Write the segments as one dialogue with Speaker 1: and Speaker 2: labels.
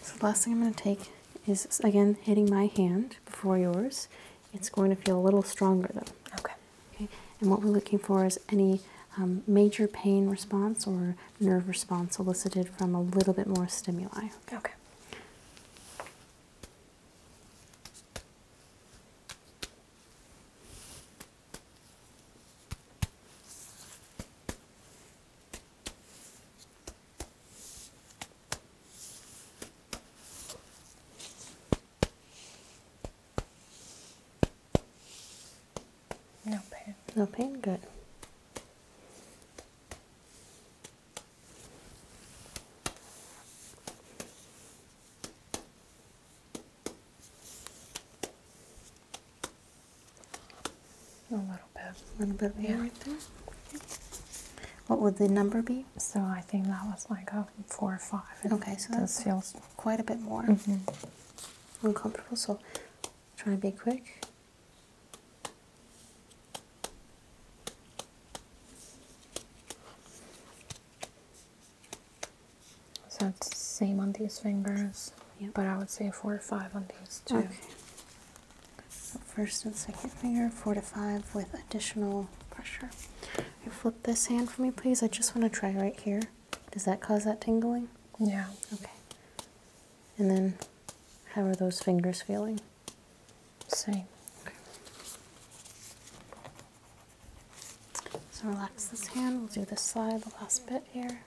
Speaker 1: So the last thing I'm going to take is, again, hitting my hand before yours. It's going to feel a little stronger, though. Okay. Okay. And what we're looking for is any um, major pain response or nerve response elicited from a little bit more stimuli. Okay. No pain. No pain? Good. A little bit. A little bit more right there. What would the number be? So I think that was like a four or five. Okay, so that feels quite a bit more mm-hmm. uncomfortable. So try and be quick. So it's the same on these fingers, but I would say four or five on these two. Okay. first and second finger, four to five with additional pressure. You flip this hand for me, please. I just want to try right here. Does that cause that tingling? Yeah. Okay. And then, how are those fingers feeling? Same. So relax this hand. We'll do this side, the last bit here.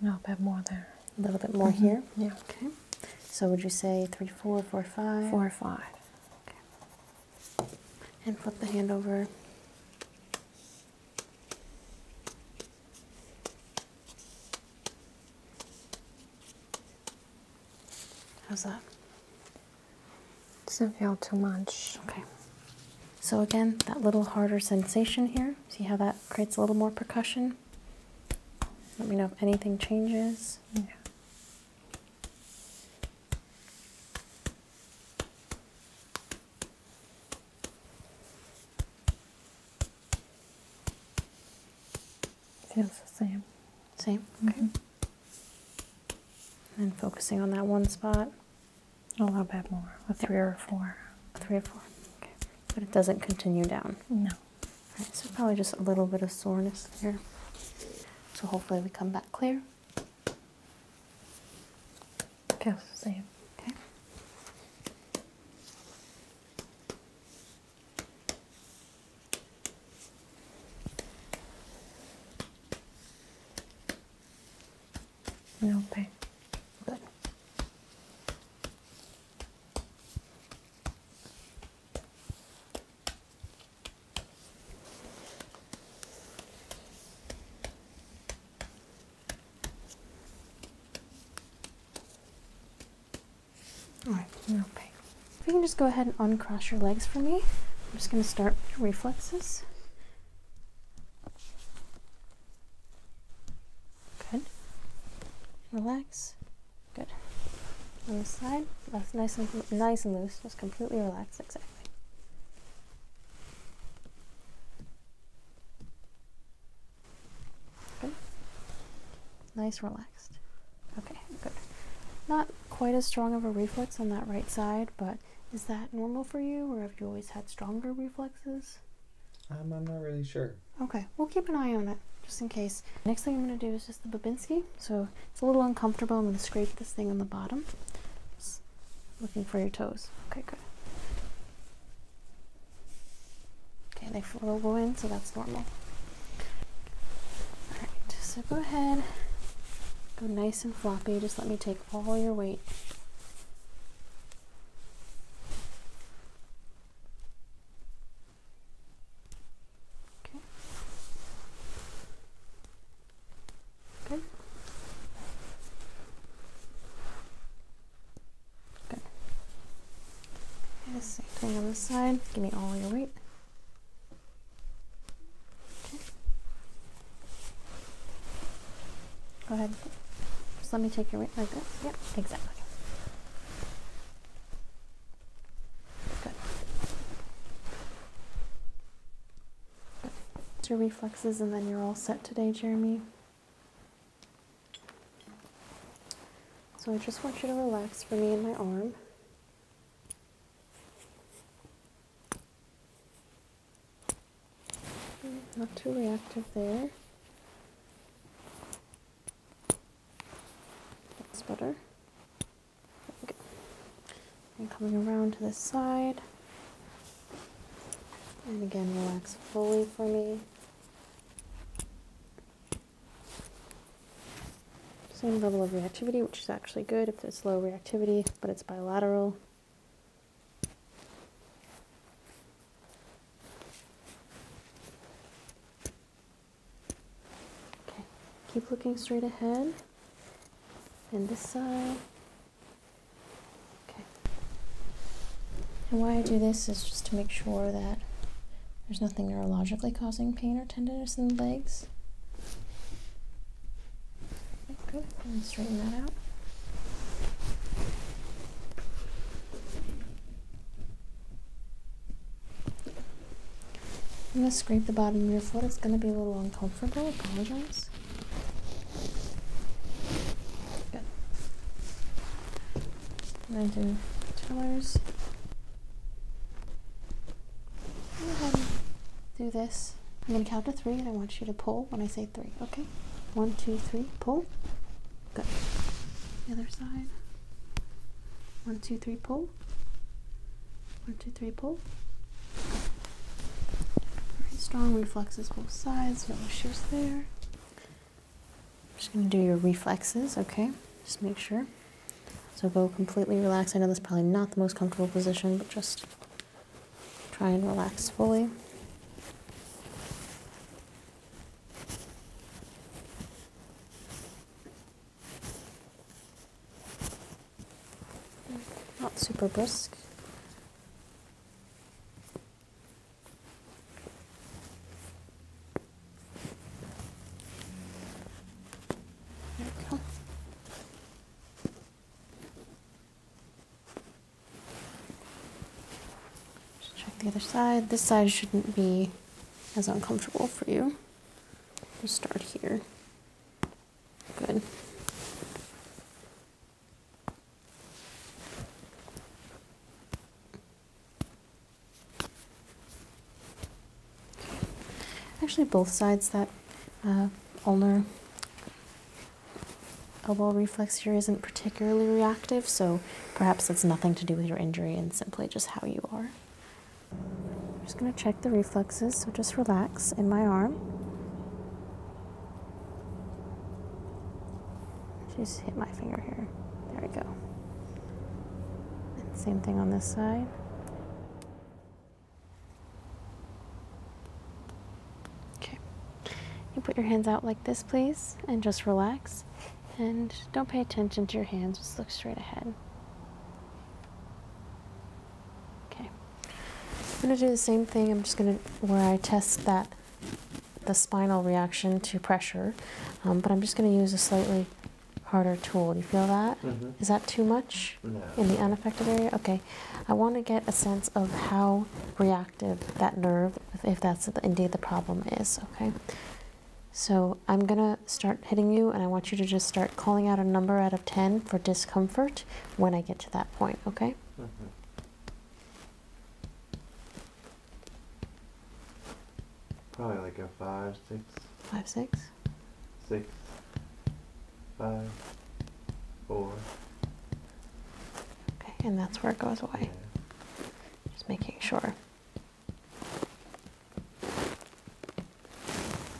Speaker 1: No, a bit more there. A little bit more mm-hmm. here? Yeah. Okay. So would you say three, four, four, five? Four, five. Okay. And flip the hand over. How's that? Doesn't feel too much. Okay. So again, that little harder sensation here. See how that creates a little more percussion? Let me know if anything changes. Yeah. Feels the same. Same? Mm-hmm. Okay. And focusing on that one spot. A little bit more, a three or four. A three or four, okay. But it doesn't continue down? No. All right, so probably just a little bit of soreness there. So hopefully we come back clear. Feels same. Okay. No pain. Good. All okay. If you can just go ahead and uncross your legs for me, I'm just going to start with your reflexes. Good. Relax. Good. On this side, that's nice and nice and loose. Just completely relax. Exactly. Good. Nice, relaxed. Okay, good. Not quite as strong of a reflex on that right side, but is that normal for you, or have you always had stronger reflexes? Um, I'm not really sure. Okay, we'll keep an eye on it just in case. Next thing I'm going to do is just the Babinski. So it's a little uncomfortable. I'm going to scrape this thing on the bottom. Looking for your toes. Okay, good. Okay, they will go in, so that's normal. Alright, so go ahead. Go nice and floppy. Just let me take all your weight. Okay. Good. Good. Okay, same thing on this side. Give me all your weight. Okay. Go ahead. Just let me take your weight like this. Yep, exactly. your reflexes and then you're all set today, Jeremy. So I just want you to relax for me in my arm. Not too reactive there. That's better. And coming around to this side, and again, relax fully for me. Same level of reactivity, which is actually good if there's low reactivity, but it's bilateral. Okay, keep looking straight ahead. And this side. Okay. And why I do this is just to make sure that there's nothing neurologically causing pain or tenderness in the legs. Good. straighten that out. I'm going to scrape the bottom of your foot. It's going to be a little uncomfortable. apologize. Good. And then do tellers. Go ahead do this. I'm going to count to three and I want you to pull when I say three, okay? One, two, three, pull. Good. The other side. One, two, three, pull. One, two, three, pull. Right, strong reflexes both sides, no issues there. just going to do your reflexes, okay? Just make sure. So go completely relaxed. I know this is probably not the most comfortable position, but just try and relax fully. Not super brisk. Just check the other side. This side shouldn't be as uncomfortable for you. we start here. Good. Actually, both sides that uh, ulnar elbow reflex here isn't particularly reactive, so perhaps it's nothing to do with your injury and simply just how you are. I'm just going to check the reflexes, so just relax in my arm. Just hit my finger here. There we go. same thing on this side. Okay. You put your hands out like this, please, and just relax. And don't pay attention to your hands, just look straight ahead. Okay. I'm going to do the same thing. I'm just going to, where I test that, the spinal reaction to pressure, um, but I'm just going to use a slightly harder tool. Do you feel that? Mm-hmm. Is that too much in the unaffected area? Okay. I want to get a sense of how reactive that nerve, if that's indeed the problem, is. Okay. So I'm going to start hitting you, and I want you to just start calling out a number out of 10 for discomfort when I get to that point. Okay. Mm-hmm. Probably like a five, six, five, six, six, five, four. Okay, and that's where it goes away. Just making sure.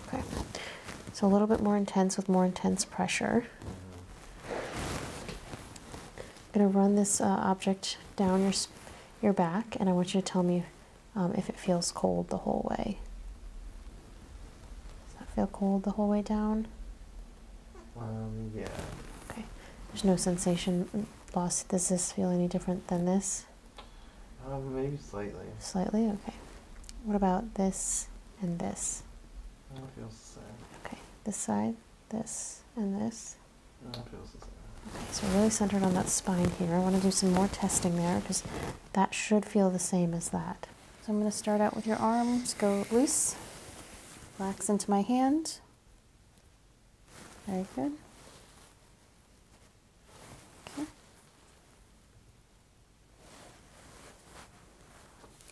Speaker 1: Okay. So a little bit more intense with more intense pressure. Uh-huh. I'm going to run this uh, object down your, your back, and I want you to tell me um, if it feels cold the whole way. Does that feel cold the whole way down? Um, yeah. Okay. There's no sensation mm, loss. Does this feel any different than this? Um, maybe slightly. Slightly? Okay. What about this and this? That feels the same. Okay, this side, this, and this. Okay, so really centered on that spine here. I want to do some more testing there because that should feel the same as that. So I'm going to start out with your arms, go loose, relax into my hand. Very good. Okay.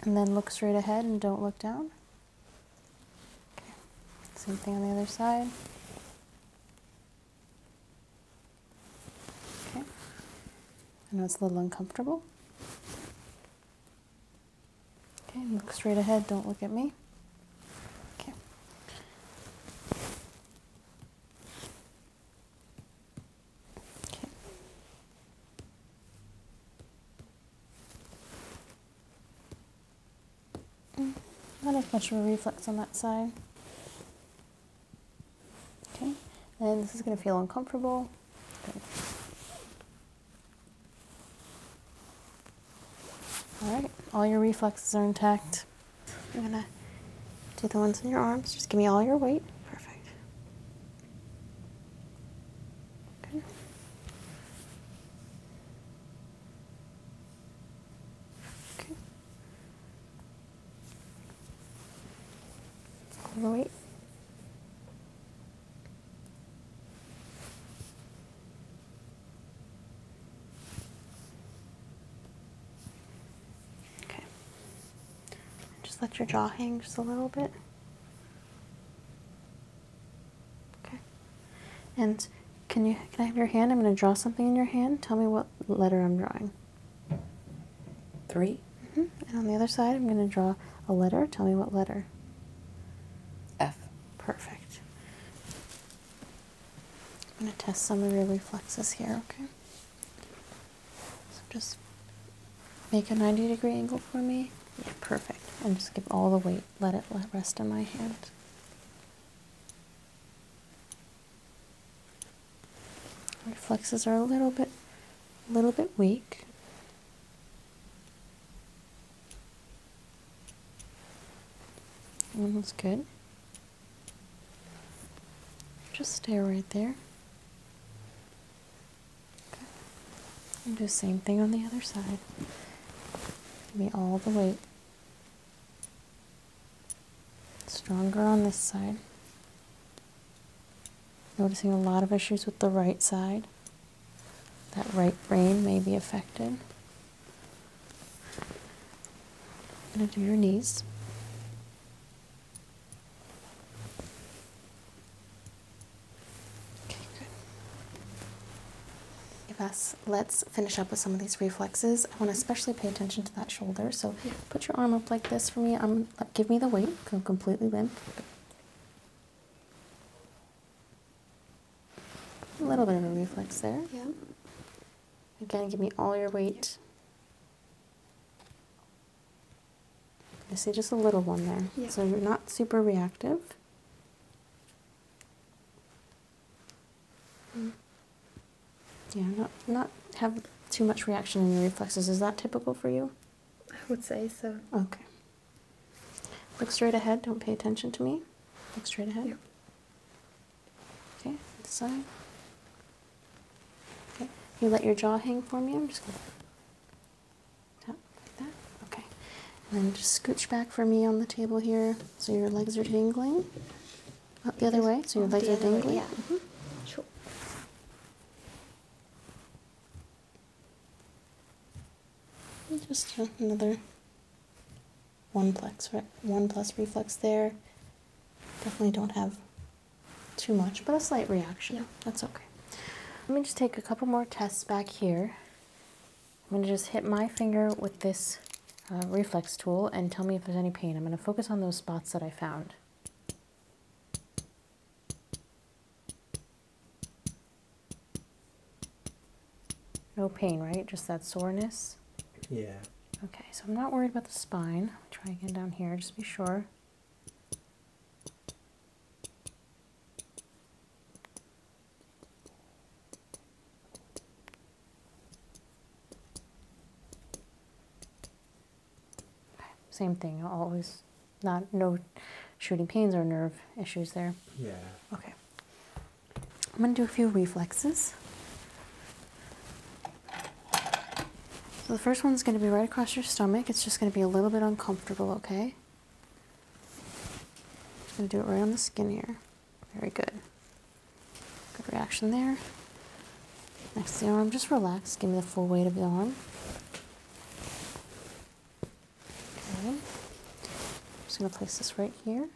Speaker 1: And then look straight ahead and don't look down. Okay. Same thing on the other side. Okay. I know it's a little uncomfortable. Okay, look straight ahead, don't look at me. Okay. Okay. Mm, not as much of a reflex on that side. Okay, and this is going to feel uncomfortable. Good. All right, all your reflexes are intact. I'm going to do the ones in your arms. Just give me all your weight. Perfect. Okay. Okay. All Okay. Just let your jaw hang just a little bit. Okay. And can you can I have your hand? I'm going to draw something in your hand. Tell me what letter I'm drawing. Three. Mm-hmm. And on the other side, I'm going to draw a letter. Tell me what letter. F. Perfect. I'm going to test some of your reflexes here, okay? So just make a 90 degree angle for me. Yeah, perfect. And just give all the weight, let it rest in my hand. Reflexes are a little bit, a little bit weak. One looks good. Just stay right there. Okay. And do the same thing on the other side. Give me all the weight. Stronger on this side. Noticing a lot of issues with the right side. That right brain may be affected. i going to do your knees. Okay, good. Yes, let's finish up with some of these reflexes. I want to especially pay attention to that shoulder. So put your arm up like this for me. Um, i give me the weight. Go completely limp. A little bit of a reflex there. Yeah. Again, give me all your weight. I see just a little one there. Yep. So you're not super reactive. Mm. Yeah, not not have too much reaction in your reflexes. Is that typical for you? I would say so. Okay. Look straight ahead. Don't pay attention to me. Look straight ahead. Okay, side. Okay. You let your jaw hang for me. I'm just gonna Okay. And then just scooch back for me on the table here so your legs are dangling. Up the other way, so your legs are dangling. Mm-hmm. just uh, another one plus one plus reflex there. Definitely don't have too much, but a slight reaction. Yeah. That's okay. Let me just take a couple more tests back here. I'm going to just hit my finger with this uh, reflex tool and tell me if there's any pain. I'm going to focus on those spots that I found. No pain, right? Just that soreness? Yeah. Okay, so I'm not worried about the spine. try again down here, just be sure. Same thing, always not no shooting pains or nerve issues there. Yeah. Okay. I'm going to do a few reflexes. So the first one's going to be right across your stomach. It's just going to be a little bit uncomfortable, okay? Just going to do it right on the skin here. Very good. Good reaction there. Next the arm, just relax. Give me the full weight of the arm. Okay. I'm just going to place this right here.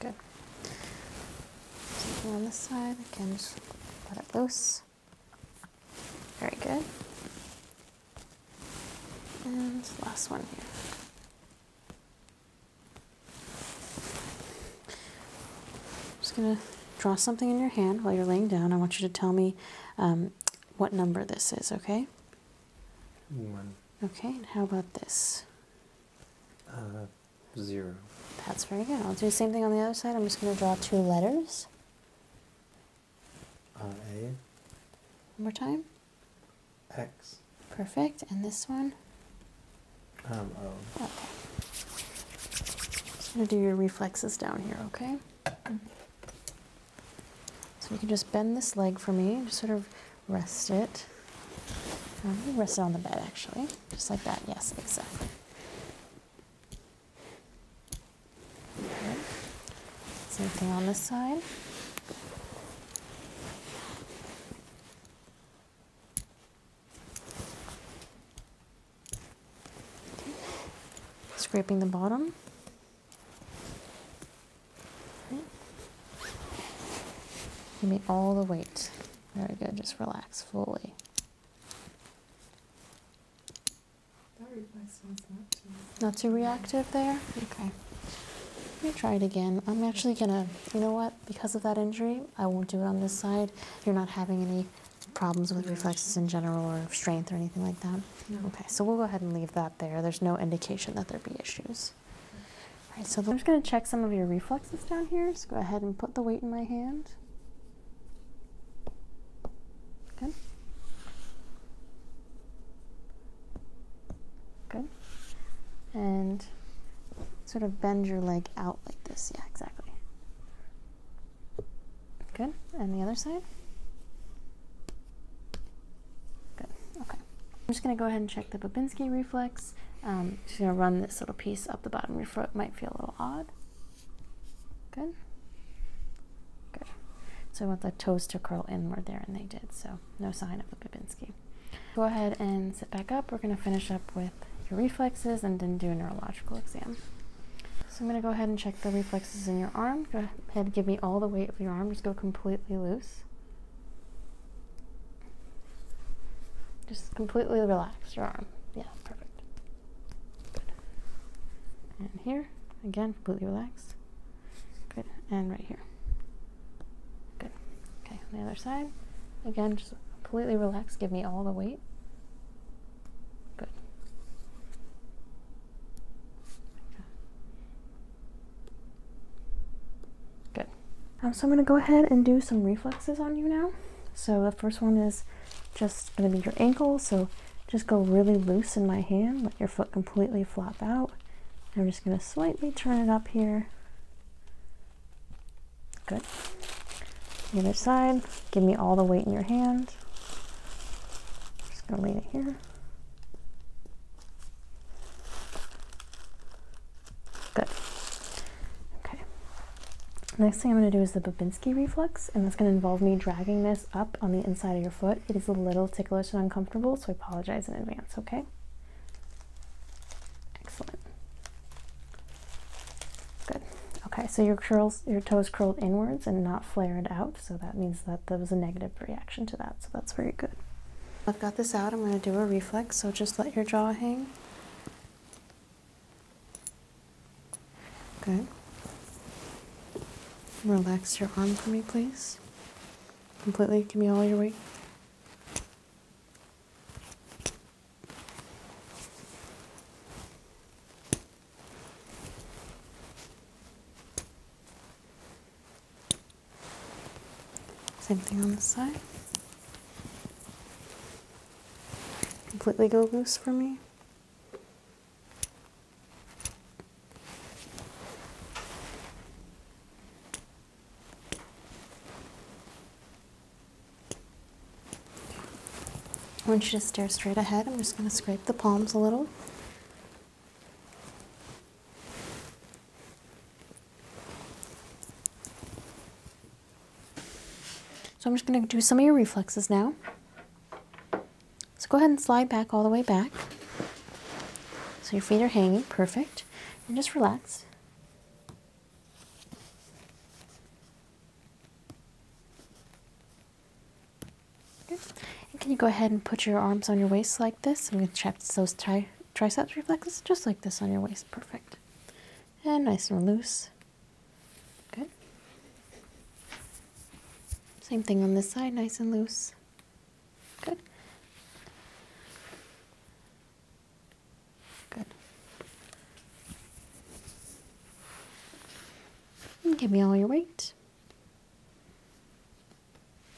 Speaker 1: Good. Something on this side, again, just let it loose. Very good. And last one here. I'm just going to draw something in your hand while you're laying down. I want you to tell me um, what number this is, okay? One. Okay, how about this? Uh, zero. That's very good. I'll do the same thing on the other side. I'm just going to draw two letters. Uh, One more time. X. Perfect. And this one? Um, o. Okay. I'm going to do your reflexes down here, okay? Mm-hmm. So you can just bend this leg for me, just sort of rest it. Um, rest it on the bed, actually, just like that. Yes, exactly. Okay. Same thing on this side. Scraping the bottom. Give me all the weight. Very good. Just relax fully. Not too reactive there? Okay. Let me try it again. I'm actually gonna, you know what, because of that injury, I won't do it on this side. You're not having any problems with reflexes in general or strength or anything like that? Okay, so we'll go ahead and leave that there. There's no indication that there be issues. All right, so I'm just going to check some of your reflexes down here. So go ahead and put the weight in my hand. Good. Good. And sort of bend your leg out like this. Yeah, exactly. Good. And the other side. Good, okay. I'm just gonna go ahead and check the Babinski reflex. Um, just gonna run this little piece up the bottom of your foot. Might feel a little odd. Good. Good. So I want the toes to curl inward there, and they did, so no sign of the Babinski. Go ahead and sit back up. We're gonna finish up with your reflexes and then do a neurological exam. So I'm gonna go ahead and check the reflexes in your arm. Go ahead, and give me all the weight of your arm. Just go completely loose. Just completely relax your arm. Yeah, perfect. Good. And here, again, completely relax. Good. And right here. Good. Okay, on the other side. Again, just completely relax. Give me all the weight. Good. Good. Um, so I'm going to go ahead and do some reflexes on you now. So the first one is just going to be your ankle. So just go really loose in my hand. Let your foot completely flop out. I'm just going to slightly turn it up here. Good. The other side. Give me all the weight in your hand. Just going to lay it here. Good. Okay. Next thing I'm going to do is the Babinski reflex, and that's going to involve me dragging this up on the inside of your foot. It is a little ticklish and uncomfortable, so I apologize in advance, okay? Excellent. Good. Okay, so your curls, your toes curled inwards and not flared out, so that means that there was a negative reaction to that, so that's very good. I've got this out. I'm going to do a reflex, so just let your jaw hang. Good. Relax your arm for me, please. Completely give me all your weight. Same thing on this side. Completely go loose for me. I want you to stare straight ahead. I'm just going to scrape the palms a little. So I'm just going to do some of your reflexes now. So go ahead and slide back all the way back. So your feet are hanging, perfect. And just relax. And can you go ahead and put your arms on your waist like this? I'm going to trap those tight tri triceps just like this on your waist. Perfect. And nice and loose. Good. Same thing on this side, nice and loose. Good. Good. give me all your weight.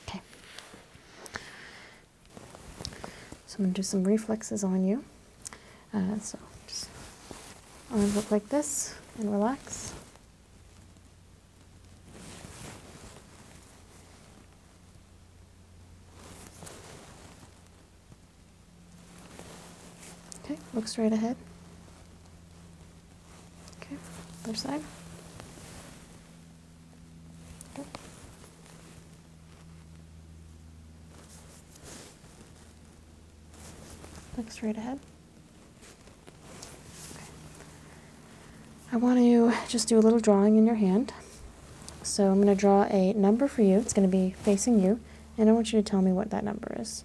Speaker 1: Okay. So I'm going to do some reflexes on you. Uh, so just arms up like this and relax. Okay, look straight ahead. Okay, other side. Looks right ahead. Okay. I want to just do a little drawing in your hand. So I'm going to draw a number for you. It's going to be facing you. And I want you to tell me what that number is.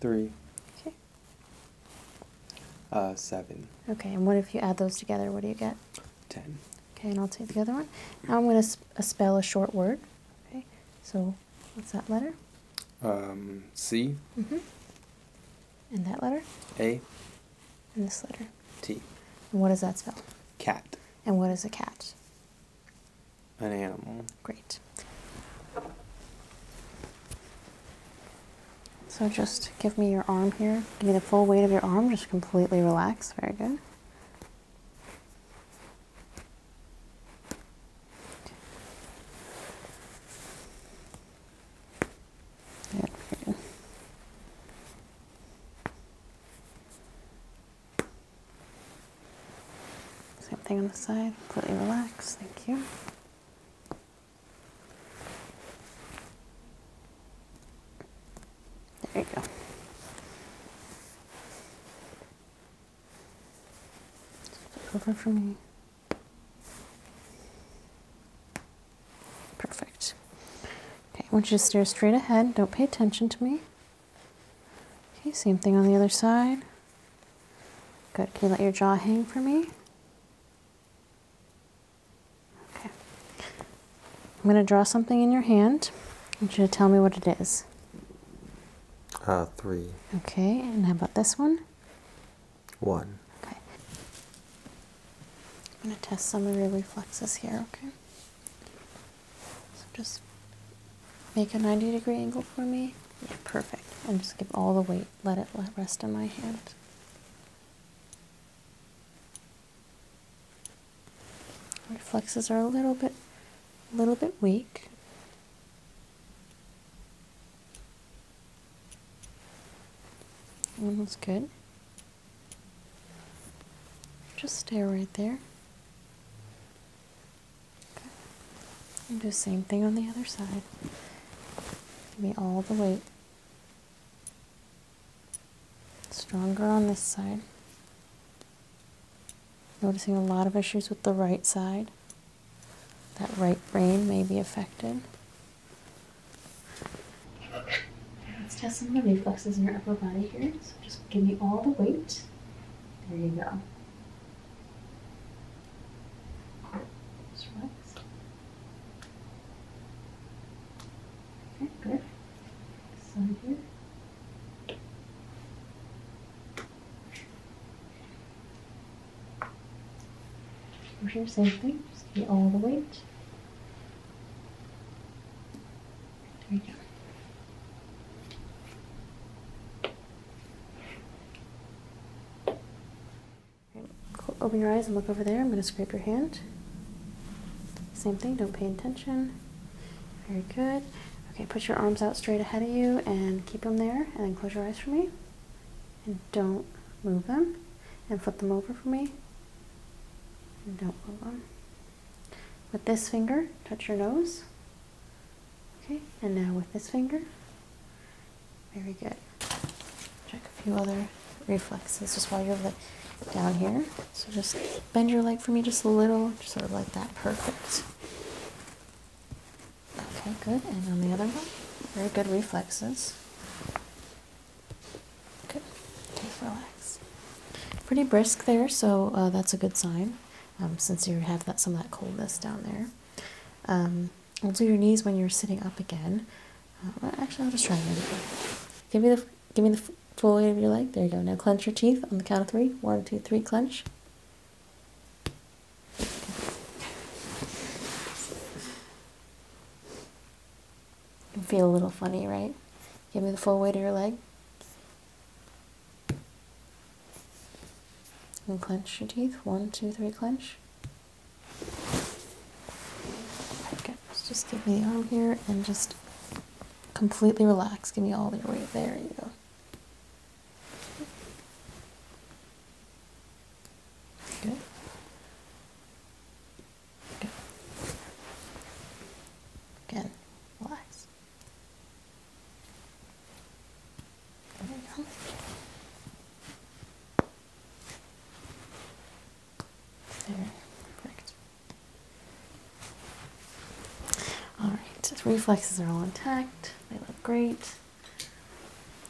Speaker 1: Three. Okay. Uh, seven. Okay, and what if you add those together? What do you get? Ten. Okay, and I'll take the other one. Now I'm going to uh, spell a short word. Okay, so what's that letter? Um, C. hmm And that letter? A. And this letter? T. And what does that spell? Cat. And what is a cat? An animal. Great. So just give me your arm here. Give me the full weight of your arm. Just completely relax. Very good. Good. good. Same thing on the side. Completely relax. Thank you. There you go. over for me. Perfect. Okay, I want you to stare straight ahead. Don't pay attention to me. Okay, same thing on the other side. Good. Can you let your jaw hang for me? Okay. I'm going to draw something in your hand. I want you to tell me what it is. Uh, three. Okay, and how about this one? One. Okay. I'm going to test some of your reflexes here, okay? So just make a 90 degree angle for me. Yeah, perfect. And just give all the weight. Let it rest in my hand. Reflexes are a little bit, a little bit weak. That looks good. Just stay right there. Okay. And do the same thing on the other side. Give me all the weight. Stronger on this side. Noticing a lot of issues with the right side. That right brain may be affected. Let's test some of the reflexes in your upper body here. So just give me all the weight. There you go. Okay, good. Side here. same thing. Just get all the weight. There we go. Open your eyes and look over there. I'm going to scrape your hand. Same thing, don't pay attention. Very good. Okay, put your arms out straight ahead of you and keep them there. And then close your eyes for me. And don't move them. And flip them over for me. don't move them. With this finger, touch your nose. Okay, and now with this finger, very good. Check a few other reflexes just while you're down here. So just bend your leg for me just a little, sort of like that. Perfect. Okay, good. And on the other one, very good reflexes. Good. Just relax. Pretty brisk there, so uh, that's a good sign. Um, since you have some of that coldness down there. Um, We'll your knees when you're sitting up again. Uh, well, actually, I'll just try them. Give me the give me the full weight of your leg. There you go. Now clench your teeth on the count of three. One, two, three. Clench. You feel a little funny, right? Give me the full weight of your leg. And clench your teeth. One, two, three. Clench just give me the arm here and just completely relax. Give me all your weight. There you go. Okay. Okay. Again, relax. There you go. There, perfect. Alright, reflexes are all intact. They look great.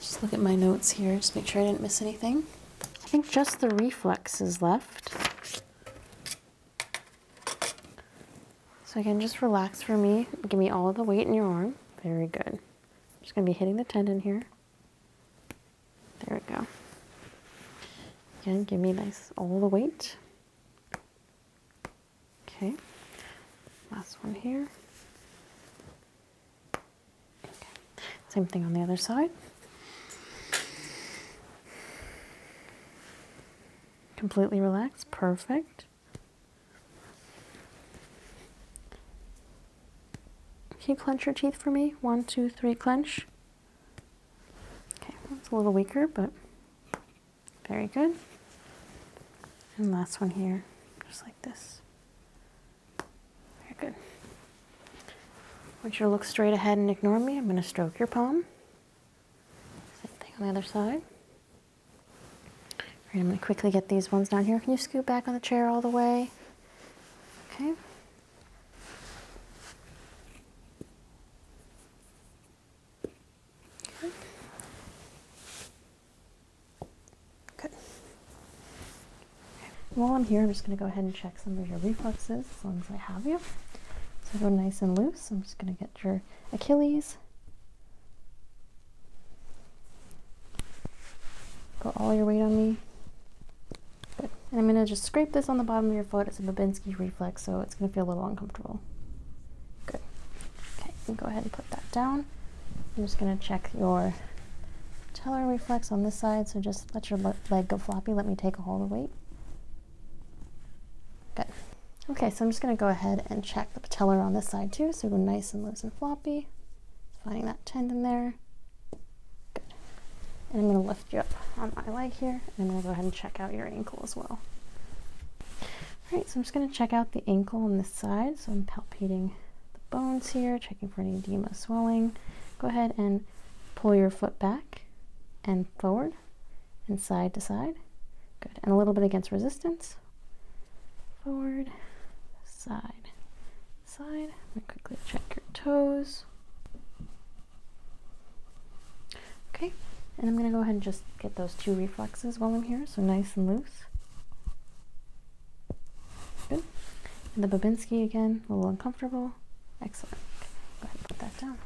Speaker 1: Just look at my notes here, just make sure I didn't miss anything. I think just the reflex is left. So again, just relax for me. Give me all the weight in your arm. Very good. I'm just going to be hitting the tendon here. There we go. Again, give me nice all the weight. Okay, last one here. Okay. Same thing on the other side. Completely relaxed, perfect. Can you clench your teeth for me? One, two, three, clench. Okay, it's a little weaker, but very good. And last one here, just like this. Very good. I want you to look straight ahead and ignore me. I'm going to stroke your palm. Same thing on the other side. All right, I'm going to quickly get these ones down here. Can you scoot back on the chair all the way? Okay. Good. Good. While I'm here, I'm just going to go ahead and check some of your reflexes as long as I have you. So go nice and loose. I'm just going to get your Achilles, Put all your weight on me. Good. And I'm going to just scrape this on the bottom of your foot. It's a Babinski reflex, so it's going to feel a little uncomfortable. Good. Okay, go ahead and put that down. I'm just going to check your teller reflex on this side, so just let your leg go floppy. Let me take a hold of weight. Good. Okay, so I'm just going to go ahead and check the patellar on this side too, so go nice and loose and floppy. Finding that tendon there. Good. And I'm going to lift you up on my leg here, and I'm going to go ahead and check out your ankle as well. All right, so I'm just going to check out the ankle on this side. So I'm palpating the bones here, checking for any edema swelling. Go ahead and pull your foot back and forward and side to side. Good. And a little bit against resistance. Forward, side, side. I'm quickly check your toes. Okay, and I'm gonna go ahead and just get those two reflexes while I'm here, so nice and loose. Good. the Babinski again, a little uncomfortable. Excellent. Go ahead and put that down.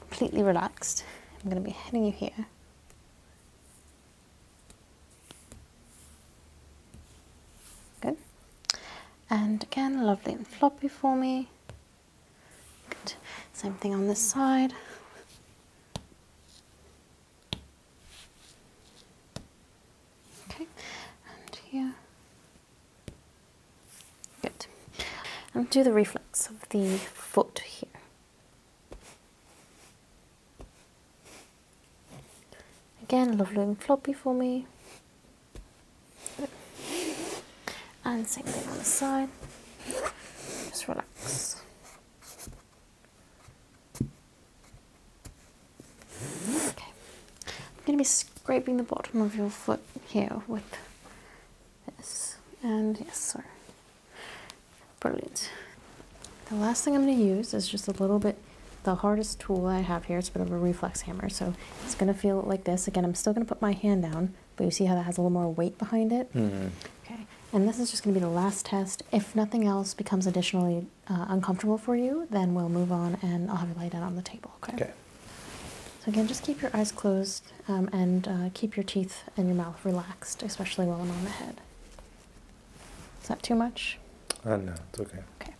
Speaker 1: completely relaxed. I'm gonna be hitting you here. Good. And again, lovely and floppy for me. Good. Same thing on this side. Okay, and here. Good. And do the reflex of the foot here. Again, love loom floppy for me. And same thing on the side. Just relax. Okay. I'm going to be scraping the bottom of your foot here with this. And yes, sorry. brilliant. The last thing I'm going to use is just a little bit the hardest tool I have here. It's a bit of a reflex hammer, so it's going to feel like this. Again, I'm still going to put my hand down, but you see how that has a little more weight behind it? Mm-hmm. Okay, and this is just going to be the last test. If nothing else becomes additionally uh, uncomfortable for you, then we'll move on and I'll have you lay down on the table, okay? So again, just keep your eyes closed um, and uh, keep your teeth and your mouth relaxed, especially while I'm on the head. Is that too much? Uh, no, it's okay. Okay.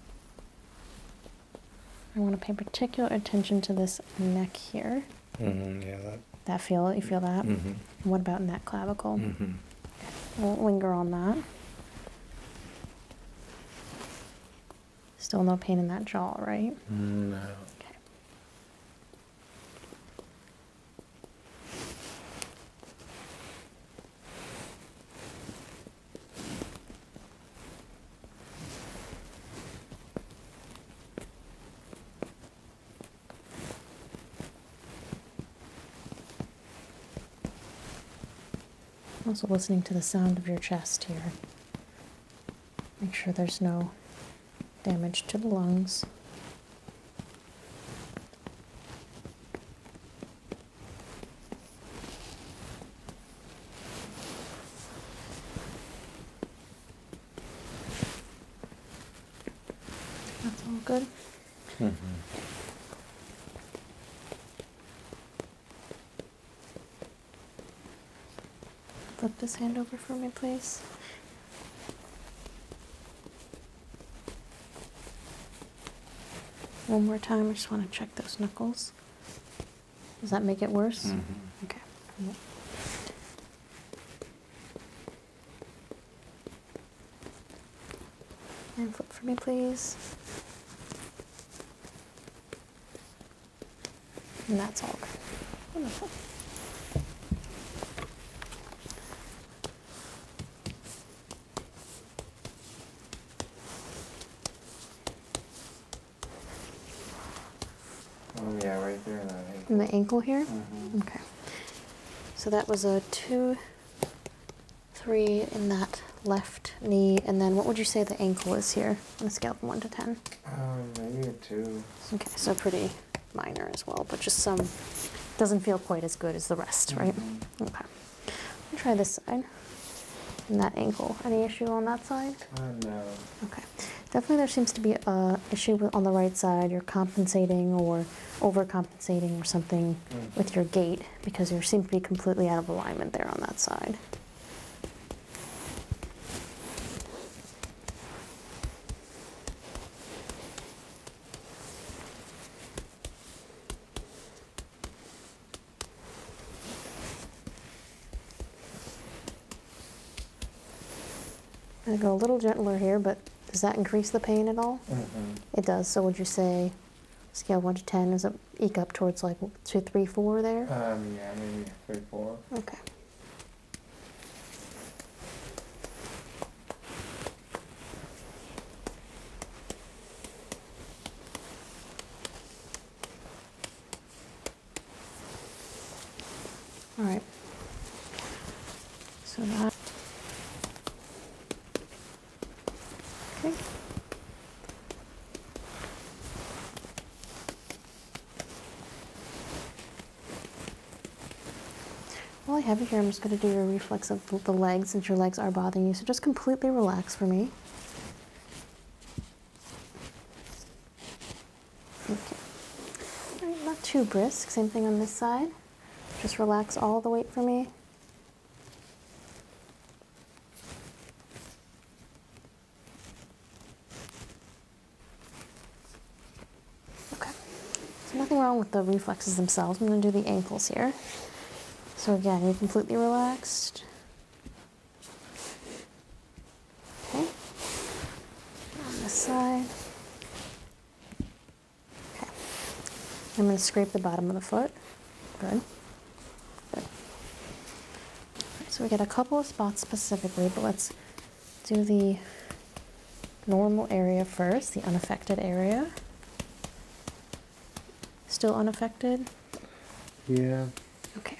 Speaker 1: I want to pay particular attention to this neck here. Mm-hmm, yeah, that. That feel, you feel that? Mm-hmm. What about in that clavicle? Mm-hmm. Won't linger on that. Still no pain in that jaw, right? No. Okay. Also, listening to the sound of your chest here. Make sure there's no damage to the lungs. That's all good. Mm-hmm. Flip this hand over for me, please. One more time, I just want to check those knuckles. Does that make it worse? Mm-hmm. Okay. And flip for me, please. And that's all. Wonderful. Oh, yeah, right there in the ankle. here? Mm-hmm. Okay. So that was a two, three in that left knee, and then what would you say the ankle is here on a scale from one to ten? Um, maybe a two. Okay, so pretty minor as well, but just some doesn't feel quite as good as the rest, right? Mm-hmm. Okay. try this side and that ankle. Any issue on that side? Uh, no. Okay. Definitely there seems to be a issue on the right side. You're compensating or overcompensating or something mm. with your gait because you seem to be completely out of alignment there on that side. I'm going to go a little gentler here, but does that increase the pain at all? Mm-hmm. It does. So would you say scale 1 to 10, is it eke up towards like two, three, four there? Um, yeah, maybe 3, 4. Okay. All right. So that. Okay. While I have you here, I'm just going to do your reflex of the legs since your legs are bothering you. So just completely relax for me. Okay. not too brisk. Same thing on this side. Just relax all the weight for me. Okay. So nothing wrong with the reflexes themselves. I'm going to do the ankles here. So again, you're completely relaxed. Okay. On this side. Okay. I'm going to scrape the bottom of the foot. Good. Good. so we get a couple of spots specifically, but let's do the normal area first, the unaffected area. Still unaffected? Yeah. Okay.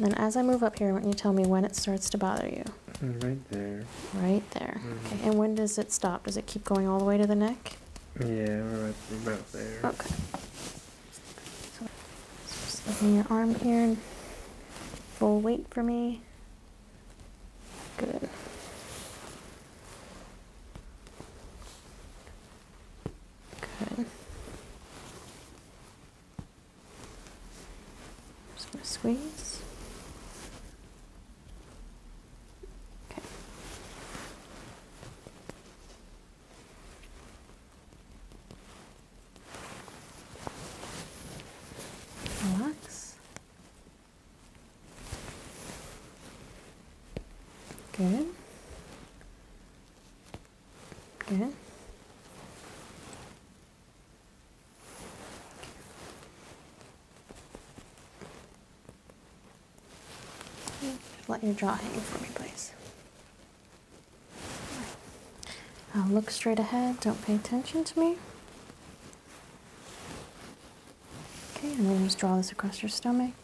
Speaker 1: then as I move up here, won't you tell me when it starts to bother you. Right there. Right there. Okay, and when does it stop? Does it keep going all the way to the neck? Yeah, right about there. Okay. So, so just looking your arm here. Full weight for me. Good. Good. Just gonna squeeze. Okay. Relax this. Good. Good. Let your jaw hang for me, please. look straight ahead. Don't pay attention to me. Okay, and we then just draw this across your stomach.